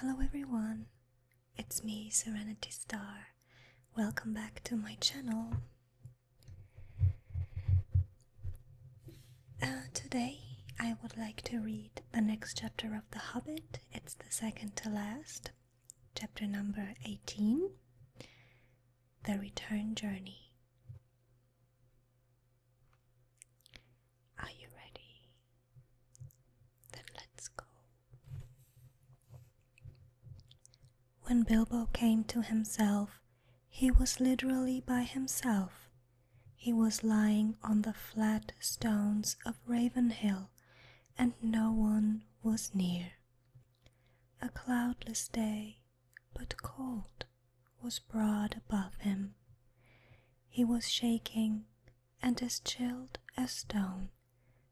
Hello everyone, it's me, Serenity Star. Welcome back to my channel. Uh, today I would like to read the next chapter of The Hobbit. It's the second to last chapter number 18 The Return Journey. Are you ready? Then let's go. When Bilbo came to himself, he was literally by himself. He was lying on the flat stones of Raven Hill and no one was near. A cloudless day, but cold, was broad above him. He was shaking and as chilled as stone,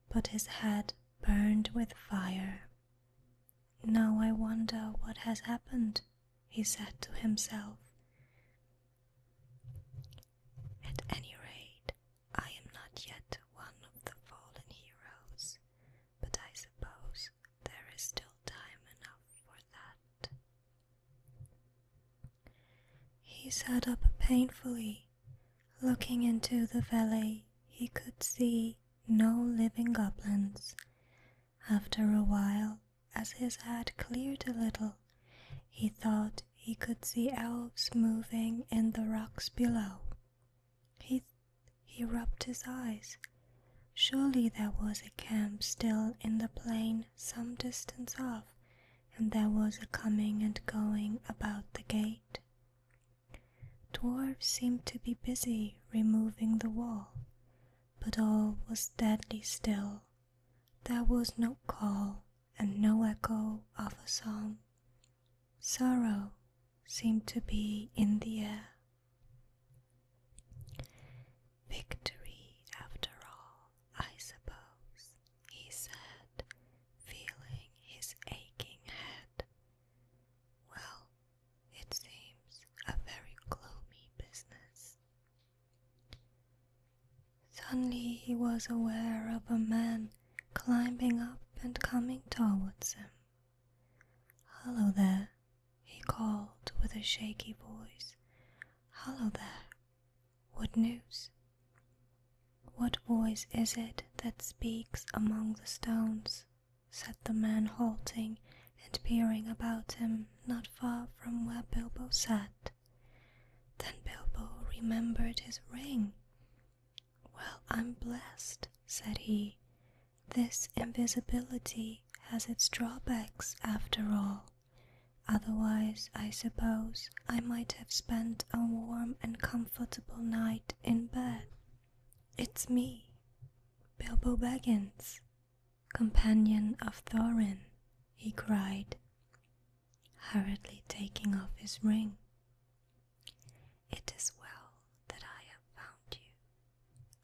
but his head burned with fire. Now I wonder what has happened, he said to himself. At any rate, I am not yet one of the fallen heroes, but I suppose there is still time enough for that. He sat up painfully. Looking into the valley, he could see no living goblins. After a while, as his head cleared a little, he thought he could see elves moving in the rocks below. He, he rubbed his eyes. Surely there was a camp still in the plain some distance off, and there was a coming and going about the gate. Dwarfs seemed to be busy removing the wall, but all was deadly still. There was no call and no echo of a song, Sorrow seemed to be in the air. Victory, after all, I suppose, he said, feeling his aching head. Well, it seems a very gloomy business. Suddenly he was aware of a man climbing up and coming towards him. "Hallo there, he called with a shaky voice. "Hallo there. What news? What voice is it that speaks among the stones? said the man, halting and peering about him not far from where Bilbo sat. Then Bilbo remembered his ring. Well, I'm blessed, said he. This invisibility has its drawbacks after all. Otherwise, I suppose I might have spent a warm and comfortable night in bed. It's me, Bilbo Baggins, companion of Thorin, he cried, hurriedly taking off his ring. It is well that I have found you,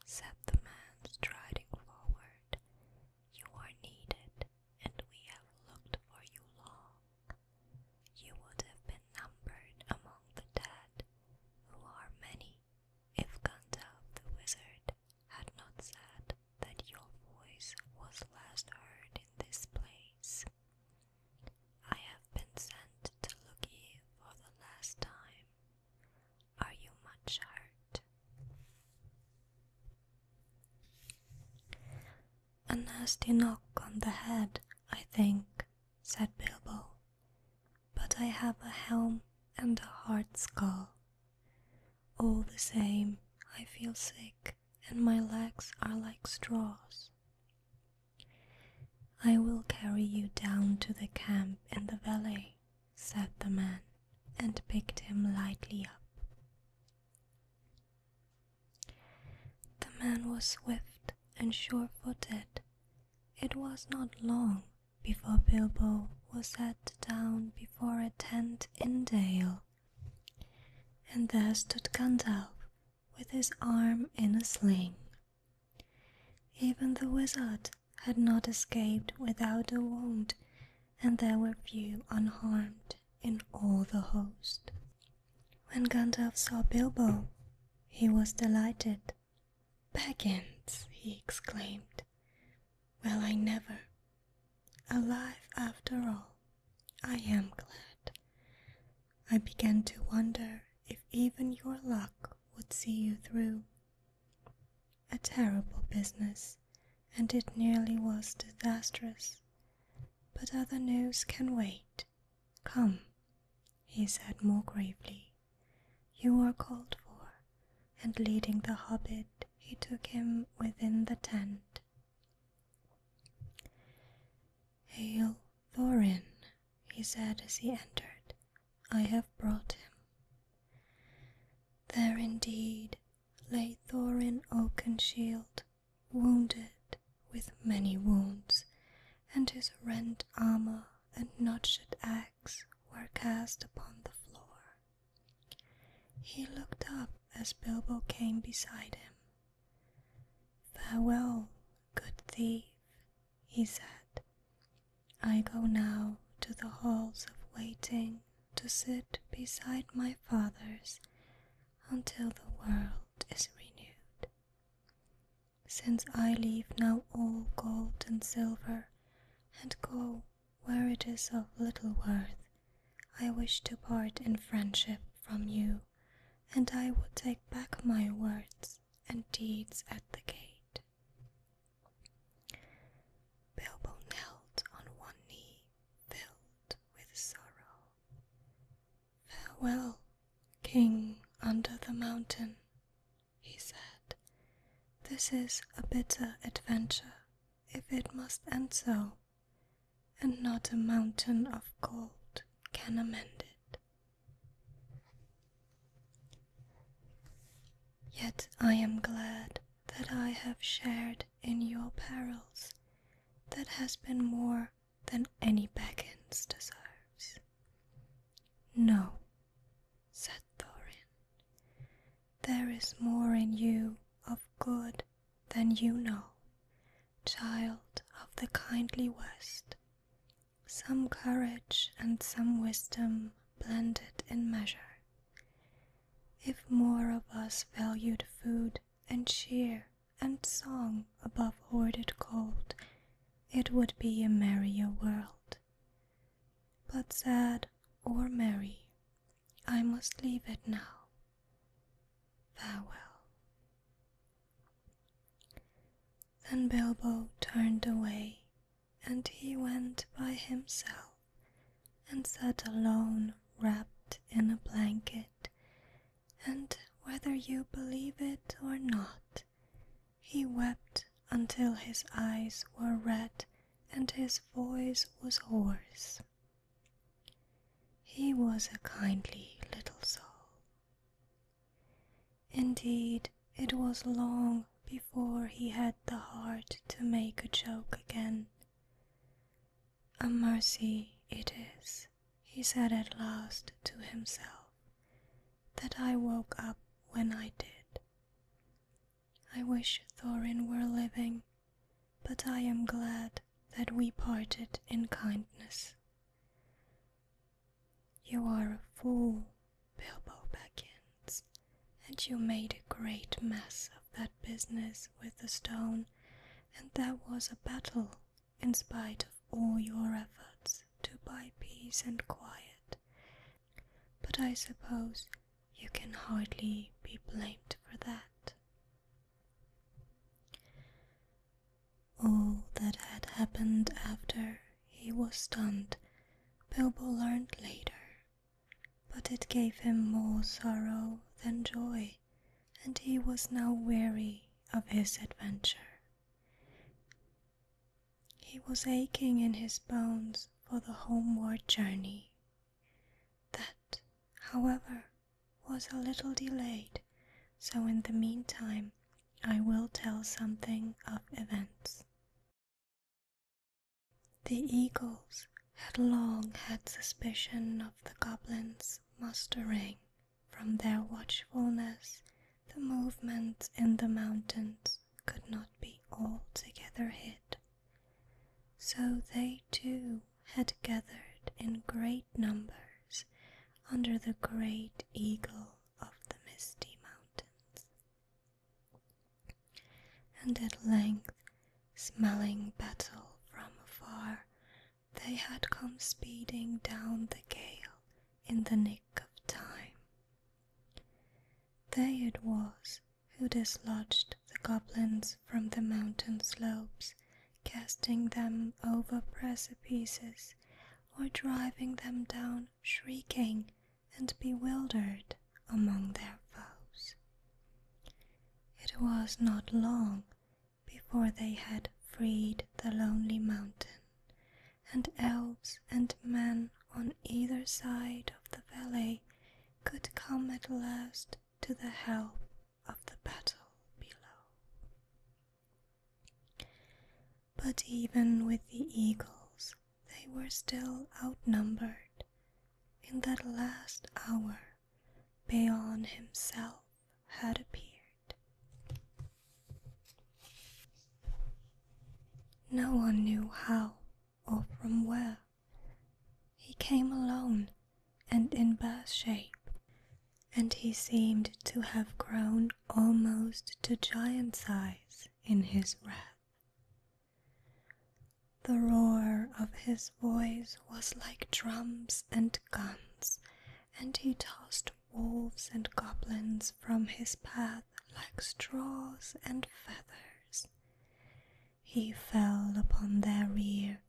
said the man striding forward. You are needed, and we have looked for you long. You would have been numbered among the dead, who are many, if Gundel the wizard had not said that your voice was last heard in this place. I have been sent to look ye for the last time. Are you much hurt? A nasty knock on the head, I think, said Bilbo. But I have a helm and a hard skull. All the same, I feel sick, and my legs are like straws. I will carry you down to the camp in the valley, said the man, and picked him lightly up. The man was swift and sure footed. It was not long before Bilbo was set down before a tent in Dale, and there stood Gandalf with his arm in a sling. Even the wizard had not escaped without a wound, and there were few unharmed in all the host. When Gandalf saw Bilbo, he was delighted. Baggins, he exclaimed. Well, I never. Alive after all. I am glad. I began to wonder if even your luck would see you through. A terrible business, and it nearly was disastrous. But other news can wait. Come, he said more gravely. You are called for, and leading the hobbit, he took him within the tent. Hail, Thorin, he said as he entered. I have brought him. There indeed lay Thorin Oakenshield, wounded with many wounds, and his rent armor and notched axe were cast upon the floor. He looked up as Bilbo came beside him Farewell, good thief, he said. I go now to the halls of waiting to sit beside my fathers until the world is renewed. Since I leave now all gold and silver and go where it is of little worth, I wish to part in friendship from you and I will take back my words and deeds at the gate. Bilbo knelt on one knee, filled with sorrow. Farewell, King under the mountain, he said. This is a bitter adventure, if it must end so and not a mountain of gold can amend it. Yet I am glad that I have shared in your perils, that has been more than any Beckons deserves. No, said Thorin, there is more in you of good than you know, child of the kindly West, some courage and some wisdom blended in measure. If more of us valued food and cheer and song above hoarded gold, it would be a merrier world. But sad or merry, I must leave it now. Farewell. Then Bilbo turned away, and he went by himself, and sat alone, wrapped in a blanket. And whether you believe it or not, he wept until his eyes were red and his voice was hoarse. He was a kindly little soul. Indeed, it was long before he had the heart to make a joke again. A mercy it is, he said at last to himself, that I woke up when I did. I wish Thorin were living, but I am glad that we parted in kindness. You are a fool, Bilbo Baggins, and you made a great mess of that business with the stone, and there was a battle, in spite of all your efforts to buy peace and quiet. But I suppose you can hardly be blamed for that. All that had happened after he was stunned, Bilbo learned later, but it gave him more sorrow than joy, and he was now weary of his adventure. He was aching in his bones for the homeward journey. That, however, was a little delayed, so in the meantime, I will tell something of events. The eagles had long had suspicion of the goblins mustering from their watchfulness the movements in the mountains could not be altogether hid. So they too had gathered in great numbers under the great eagle of the misty mountains. And at length, smelling battle from afar, they had come speeding down the gale in the nick of time. They it was who dislodged the goblins from the mountain slopes casting them over precipices, or driving them down shrieking and bewildered among their foes. It was not long before they had freed the lonely mountain, and elves and men on either side of the valley could come at last to the help of the battle below. But even with the eagles, they were still outnumbered. In that last hour, Bayon himself had appeared. No one knew how or from where. He came alone and in bad shape, and he seemed to have grown almost to giant size in his wrath. The roar of his voice was like drums and guns, and he tossed wolves and goblins from his path like straws and feathers. He fell upon their rear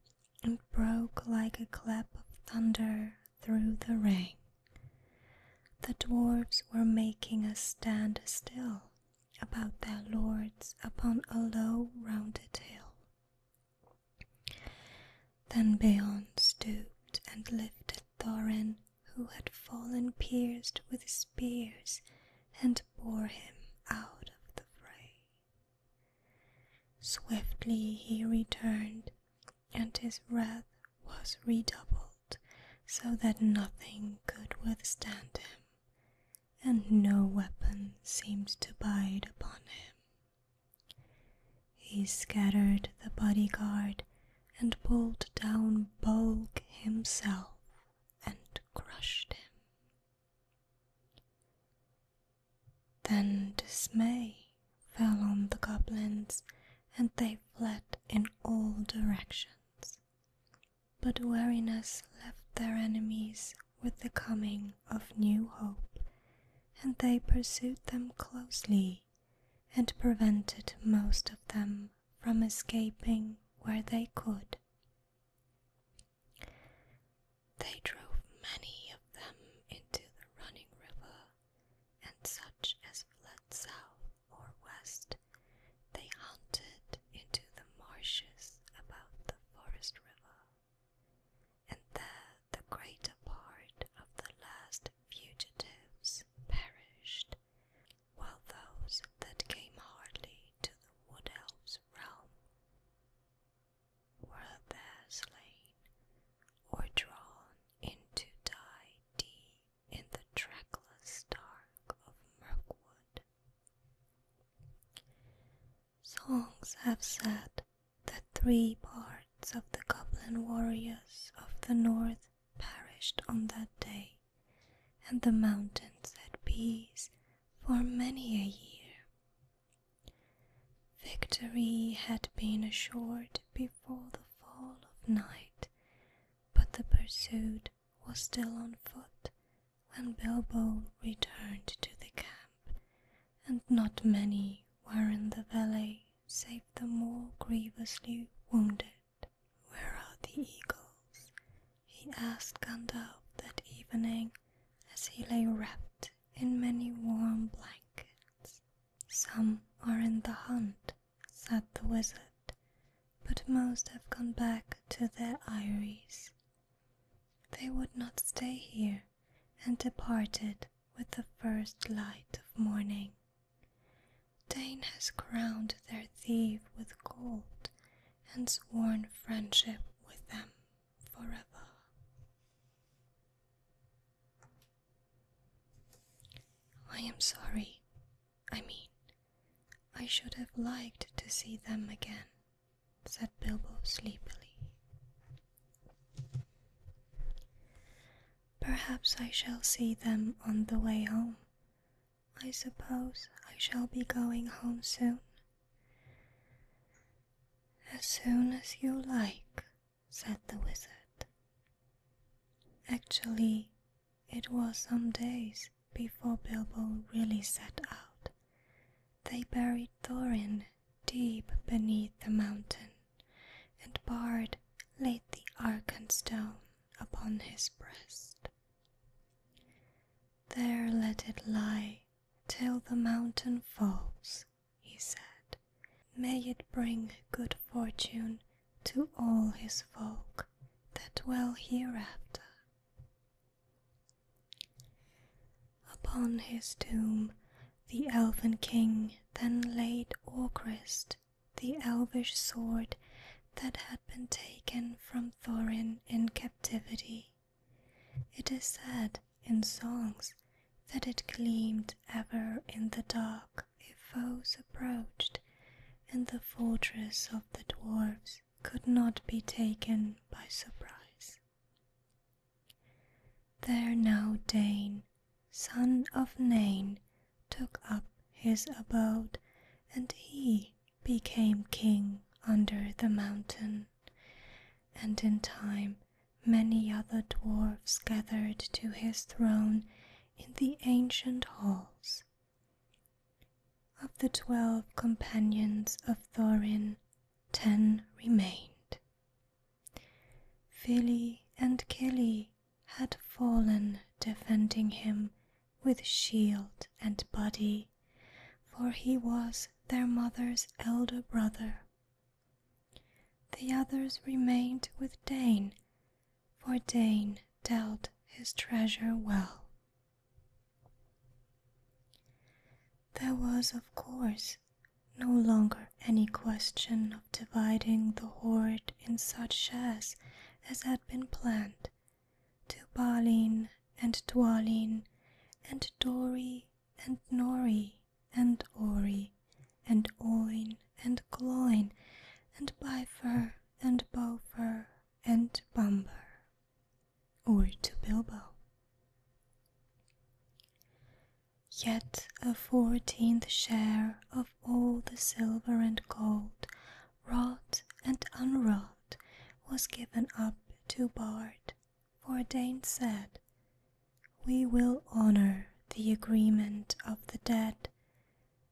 and broke like a clap of thunder through the rain. The dwarfs were making a stand still about their lords upon a low rounded hill. Then Beorn stooped and lifted Thorin, who had fallen pierced with spears, and bore him out of the fray. Swiftly he returned, and his wrath was redoubled, so that nothing could withstand him, and no weapon seemed to bite upon him. He scattered the bodyguard and pulled down Bolg himself and crushed him. Then dismay fell on the goblins, and they fled in all directions. But weariness left their enemies with the coming of new hope, and they pursued them closely and prevented most of them from escaping where they could. They drove many of them into the running river, and such as fled south or west they hunted into the marshes about the forest river, and there the greater part of the last fugitives perished, while those that came hardly to the wood elves' realm were there slain or drawn into thy deep in the trackless dark of Mirkwood. Songs have said that three parts of the goblin warriors of the north perished on that day, and the mountains had peace for many a year. Victory had been assured before the fall of night, but the pursuit was still on foot when Bilbo returned to the camp, and not many were in the valley save the more grievously wounded. Where are the eagles? he asked Gandalf that evening as he lay wrapped in many warm blankets. Some are in the hunt, said the wizard, but most have gone back to their eyries. They would not stay here and departed with the first light of morning. Dane has crowned their thief with gold and sworn friendship with them forever. I am sorry. I mean, I should have liked to see them again, said Bilbo sleepily. Perhaps I shall see them on the way home. I suppose I shall be going home soon. As soon as you like, said the wizard. Actually, it was some days before Bilbo really set out. They buried Thorin deep beneath the mountain, and Bard laid the Arkenstone upon his breast. There let it lie till the mountain falls, he said. May it bring good fortune to all his folk that dwell hereafter. Upon his tomb the elfin king then laid Orcrist, the elvish sword that had been taken from Thorin in captivity. It is said in songs that it gleamed ever in the dark if foes approached, and the fortress of the dwarfs could not be taken by surprise. There now Dane, son of Nain, took up his abode, and he became king under the mountain and in time many other dwarfs gathered to his throne in the ancient halls. Of the twelve companions of Thorin, ten remained. Fili and Kili had fallen defending him with shield and body, for he was their mother's elder brother the others remained with Dane, for Dane dealt his treasure well. There was, of course, no longer any question of dividing the hoard in such shares as had been planned. To Balin and Dwalin and Dori and Nori and Ori and Oin and Gloin and Byfur and Bofur and Bumper, or to Bilbo. Yet a fourteenth share of all the silver and gold, wrought and unwrought, was given up to Bard for Dane said, We will honor the agreement of the dead,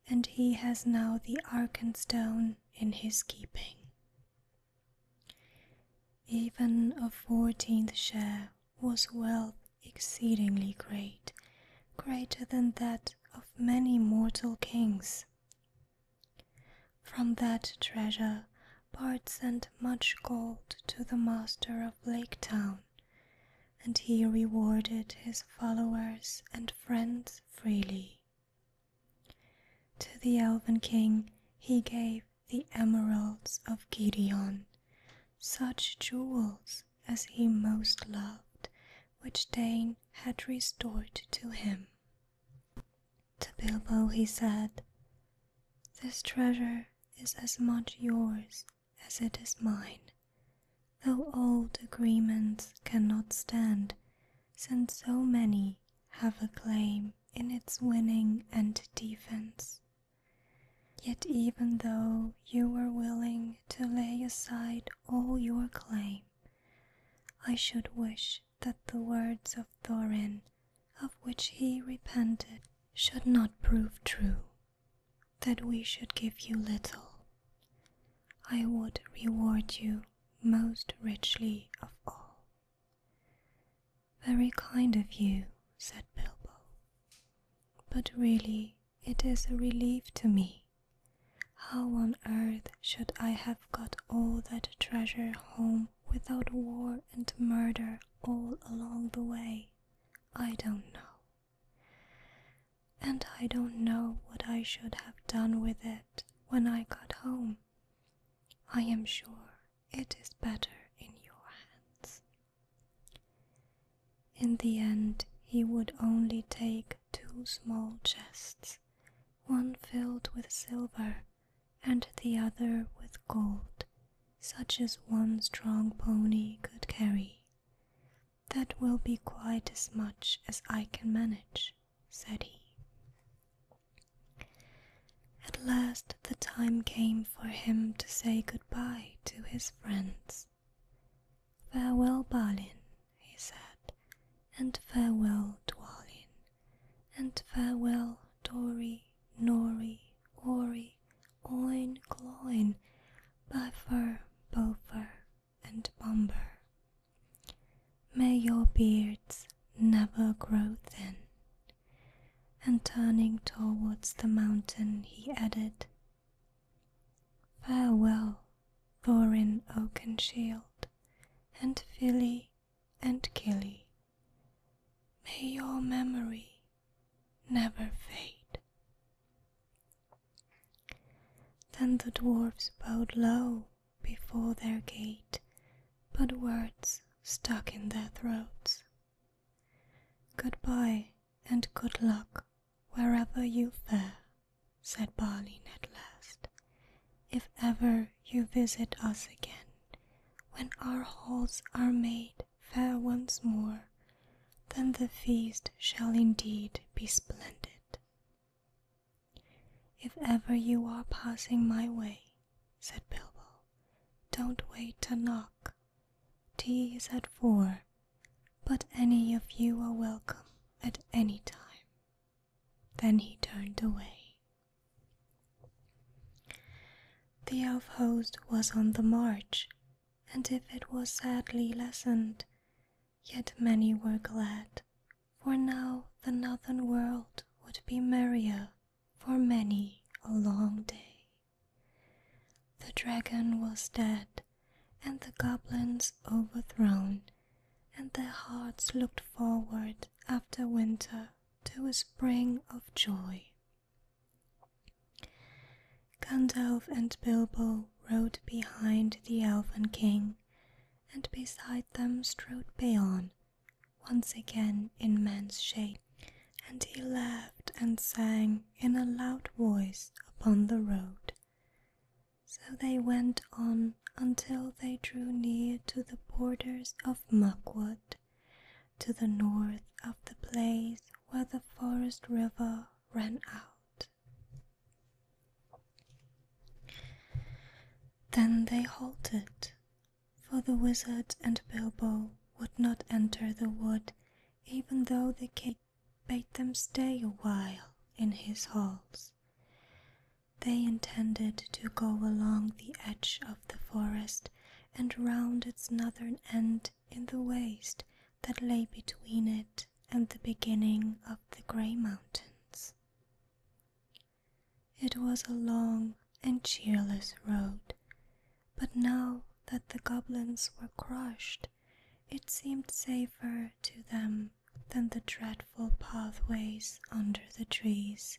and he has now the Ark and Stone in his keeping. Even a fourteenth share was wealth exceedingly great, greater than that of many mortal kings. From that treasure Bart sent much gold to the master of Lake Town, and he rewarded his followers and friends freely. To the Elven King he gave the emeralds of Gideon, such jewels as he most loved, which Dane had restored to him. To Bilbo he said, This treasure is as much yours as it is mine, though old agreements cannot stand, since so many have a claim in its winning and defense. Yet, even though you were willing to lay aside all your claim, I should wish that the words of Thorin of which he repented should not prove true, that we should give you little. I would reward you most richly of all. Very kind of you, said Bilbo, but really it is a relief to me. How on earth should I have got all that treasure home without war and murder all along the way? I don't know. And I don't know what I should have done with it when I got home. I am sure it is better in your hands. In the end, he would only take two small chests, one filled with silver and the other with gold such as one strong pony could carry. That will be quite as much as I can manage, said he. At last the time came for him to say good goodbye to his friends. Farewell, Balin, he said, and farewell, Dwalin, and farewell, Dori, Nori, Ori, oin, cloin, buffer, bofer, and bomber. May your beards never grow thin. And turning towards the mountain, he added, Farewell, Thorin Oakenshield, and Filly, and Killy, May your memory never fade. Then the dwarfs bowed low before their gate, but words stuck in their throats. Goodbye and good luck wherever you fare, said Balin at last. If ever you visit us again, when our halls are made fair once more, then the feast shall indeed be splendid. If ever you are passing my way, said Bilbo, don't wait to knock. Tea is at four, but any of you are welcome at any time. Then he turned away the elf host was on the march, and if it was sadly lessened, yet many were glad, for now the northern world would be merrier for many a long day. The dragon was dead, and the goblins overthrown, and their hearts looked forward after winter to a spring of joy Gandalf and Bilbo rode behind the Elven King, and beside them strode Beorn, once again in man's shape, and he laughed and sang in a loud voice upon the road. So they went on until they drew near to the borders of Muckwood to the north of the place where the forest river ran out. Then they halted, for the wizard and Bilbo would not enter the wood, even though the king bade them stay a while in his halls. They intended to go along the edge of the forest and round its northern end in the waste that lay between it and the beginning of the Grey Mountains. It was a long and cheerless road, but now that the goblins were crushed, it seemed safer to them than the dreadful pathways under the trees.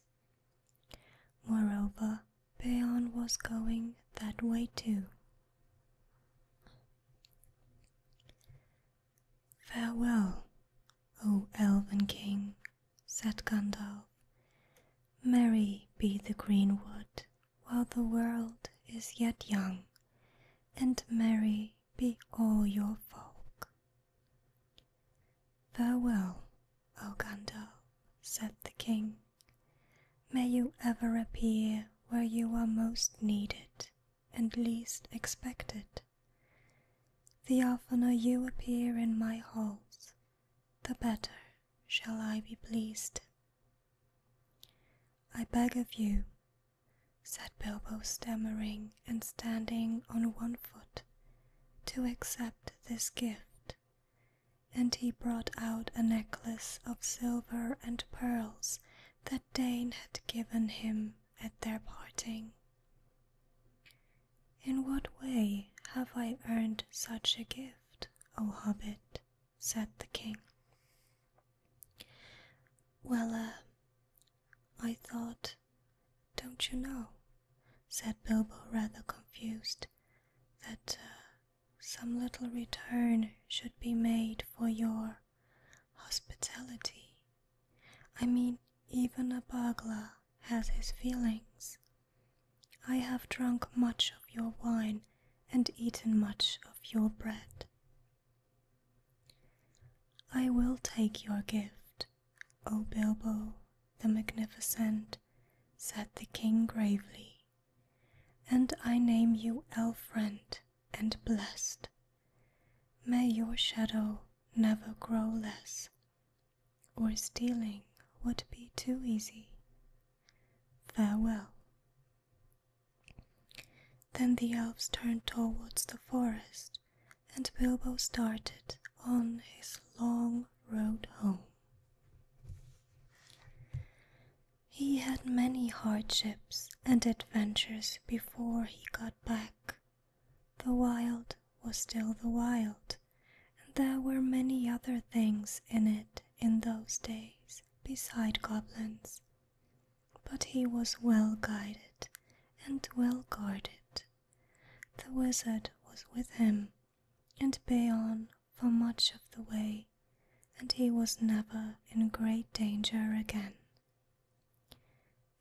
Moreover, Peon was going that way too. Farewell, O Elven King, said Gandalf. Merry be the greenwood while the world is yet young, and merry be all your folk. Farewell, O Gandalf, said the king, may you ever appear where you are most needed and least expected. The oftener you appear in my halls, the better shall I be pleased. I beg of you, said Bilbo, stammering and standing on one foot, to accept this gift and he brought out a necklace of silver and pearls that Dane had given him at their parting. In what way have I earned such a gift, O hobbit? said the king. Well, uh, I thought, don't you know, said Bilbo rather confused, that uh, some little return should be made for your hospitality. I mean, even a burglar has his feelings. I have drunk much of your wine and eaten much of your bread. I will take your gift, O Bilbo the Magnificent, said the king gravely and I name you Elf friend and Blessed. May your shadow never grow less, or stealing would be too easy. Farewell. Then the elves turned towards the forest, and Bilbo started on his long road home. He had many hardships and adventures before he got back. The wild was still the wild, and there were many other things in it in those days beside goblins. But he was well guided and well guarded. The wizard was with him and bay for much of the way, and he was never in great danger again.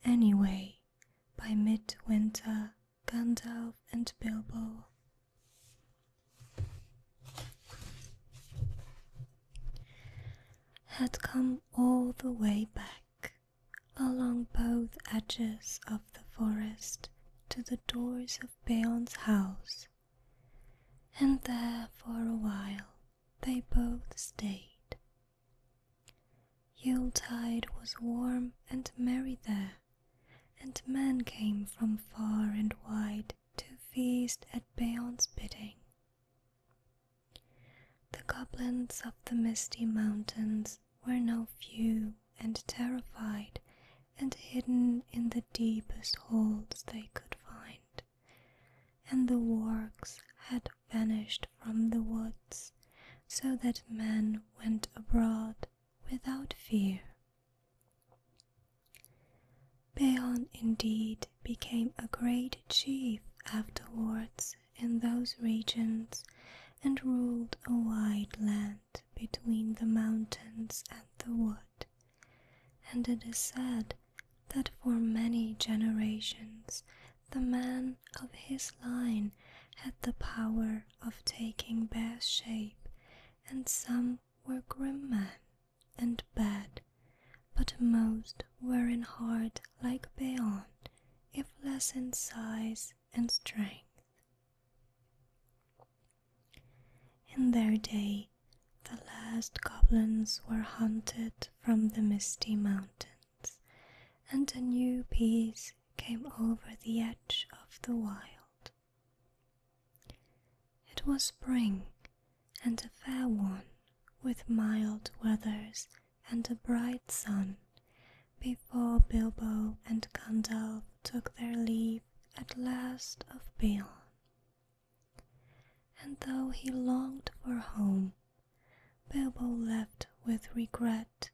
Anyway, by midwinter, Gandalf and Bilbo had come all the way back along both edges of the forest to the doors of Beorn's house and there for a while they both stayed. Yuletide was warm and merry there, and men came from far and wide to feast at Beon's bidding. The goblins of the misty mountains were no few, and terrified and hidden in the deepest holes they could find. And the wargs had vanished from the woods, so that men went abroad without fear. Beon indeed became a great chief afterwards in those regions and ruled a wide land between the mountains and the wood and it is said that for many generations the man of his line had the power of taking bear shape, and some were grim men and bad, but most were in heart like Beorn, if less in size and strength. In their day, the last goblins were hunted from the misty mountains, and a new peace came over the edge of the wild. It was spring, and a fair one, with mild weathers and a bright sun, before Bilbo and Gandalf took their leave at last of Balon. And though he longed for home, Bilbo left with regret,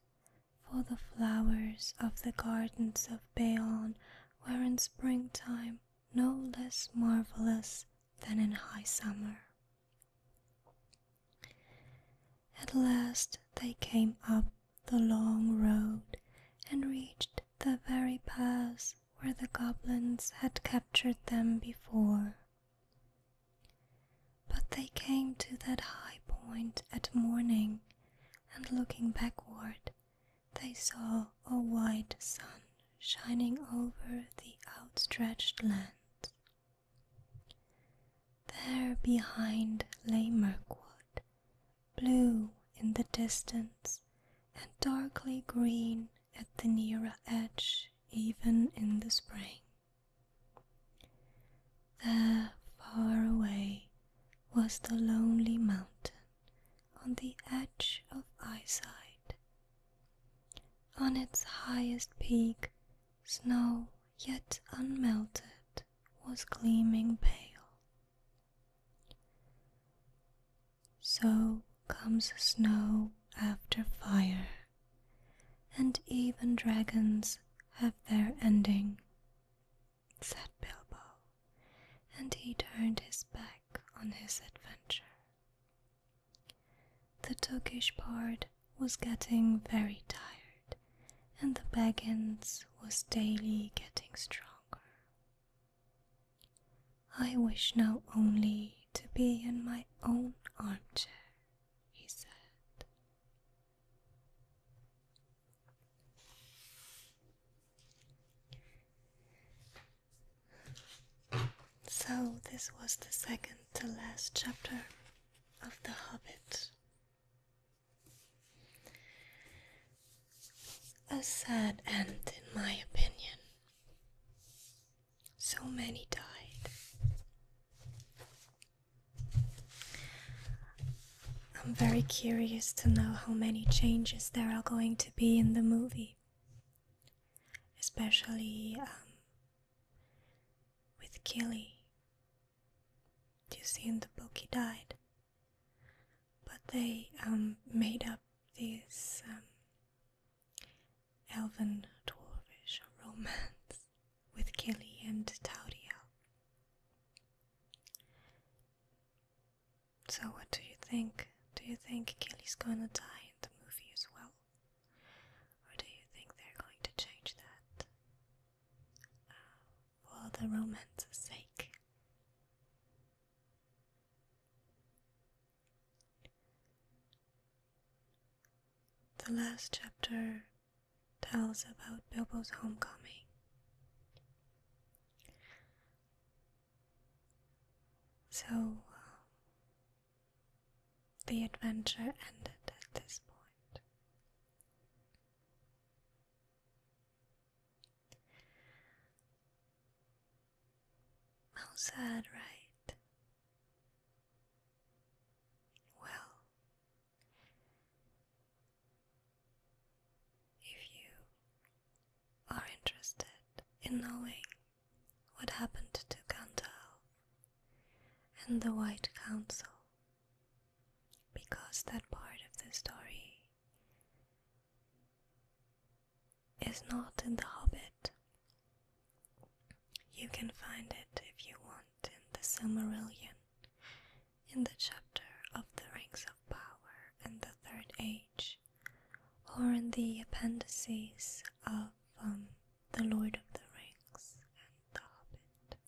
for the flowers of the gardens of Balon were in springtime no less marvelous than in high summer. At last they came up the long road and reached the very pass where the goblins had captured them before. But they came to that high point at morning, and looking backward, they saw a white sun shining over the outstretched land. There behind lay Mirkwood, blue in the distance and darkly green at the nearer edge, even in the spring. There, far away, was the lonely mountain on the edge of eyesight. On its highest peak, snow yet unmelted was gleaming pale. So comes snow after fire, and even dragons have their ending, said Bilbo, and he turned his back on his adventure. The Turkish part was getting very tired, and the Baggins was daily getting stronger. I wish now only to be in my own armchair, he said. So, this was the second to last chapter of The Hobbit. A sad end, in my opinion. So many died. I'm very curious to know how many changes there are going to be in the movie, especially um, with Killy. Do you see in the book he died? But they um, made up this um, elven dwarfish romance with Kelly and Taudiel. So, what do you think? Do you think Kelly's gonna die in the movie as well? Or do you think they're going to change that uh, for the romance's sake? The last chapter tells about Bilbo's homecoming. So uh, the adventure ended at this point. How sad, right? Well, if you are interested in knowing what happened to Gandalf and the White Council, because that part of the story is not in The Hobbit. You can find it if you want in the Silmarillion, in the chapter of the Rings of Power and the Third Age, or in the appendices of um, The Lord of the Rings and The Hobbit.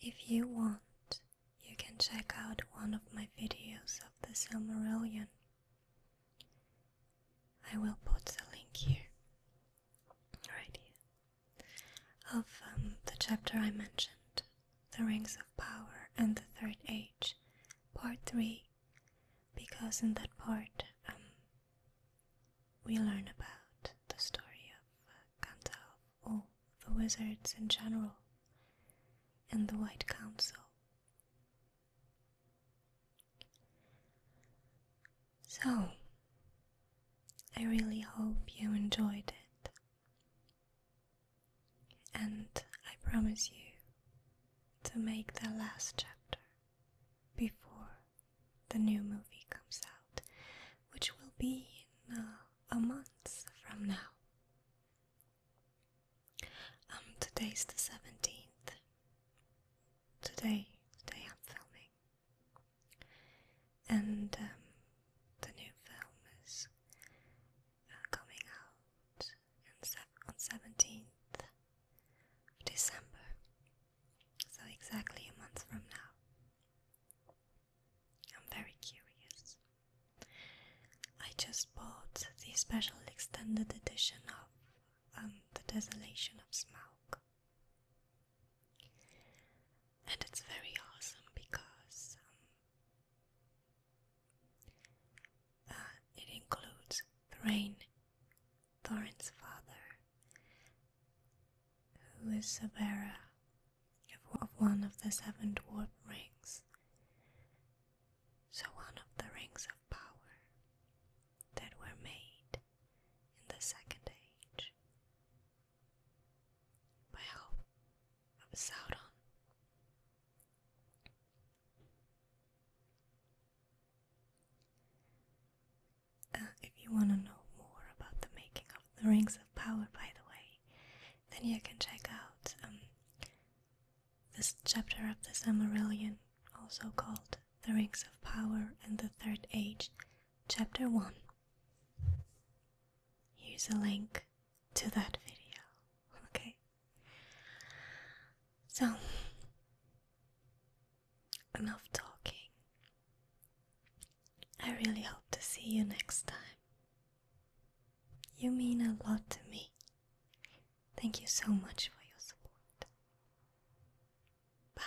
If you want, you can check out one of my videos of the Silmarillion. I will put the link here, right here, of um, the chapter I mentioned, The Rings of Power and the Third Age, Part 3, because in that part um, we learn about the story of uh, Gandalf all the wizards in general and the White Council. So, I really hope you enjoyed it, and I promise you to make the last chapter before the new movie comes out, which will be in. Uh, a month from now. Um, today's the 17th. Today, today I'm filming. And um, the new film is uh, coming out on 17th December. So exactly a month from now. I'm very curious. I just bought the special extended edition of um, The Desolation of Smaug. And it's very awesome because um, uh, it includes Thrain, Thorin's father, who is Severa of one of the seven dwarf rings. So, one of the rings of power that were made in the Second Age by help of Sauron. Uh, if you want to know more about the making of the rings of power, by the way, then you can check out um, this chapter of the Silmarillion, also called The Rings of Power and the Third Age, Chapter 1. Here's a link to that video, okay? So, enough talking. I really hope to see you next time. You mean a lot to me. Thank you so much for your support. Bye.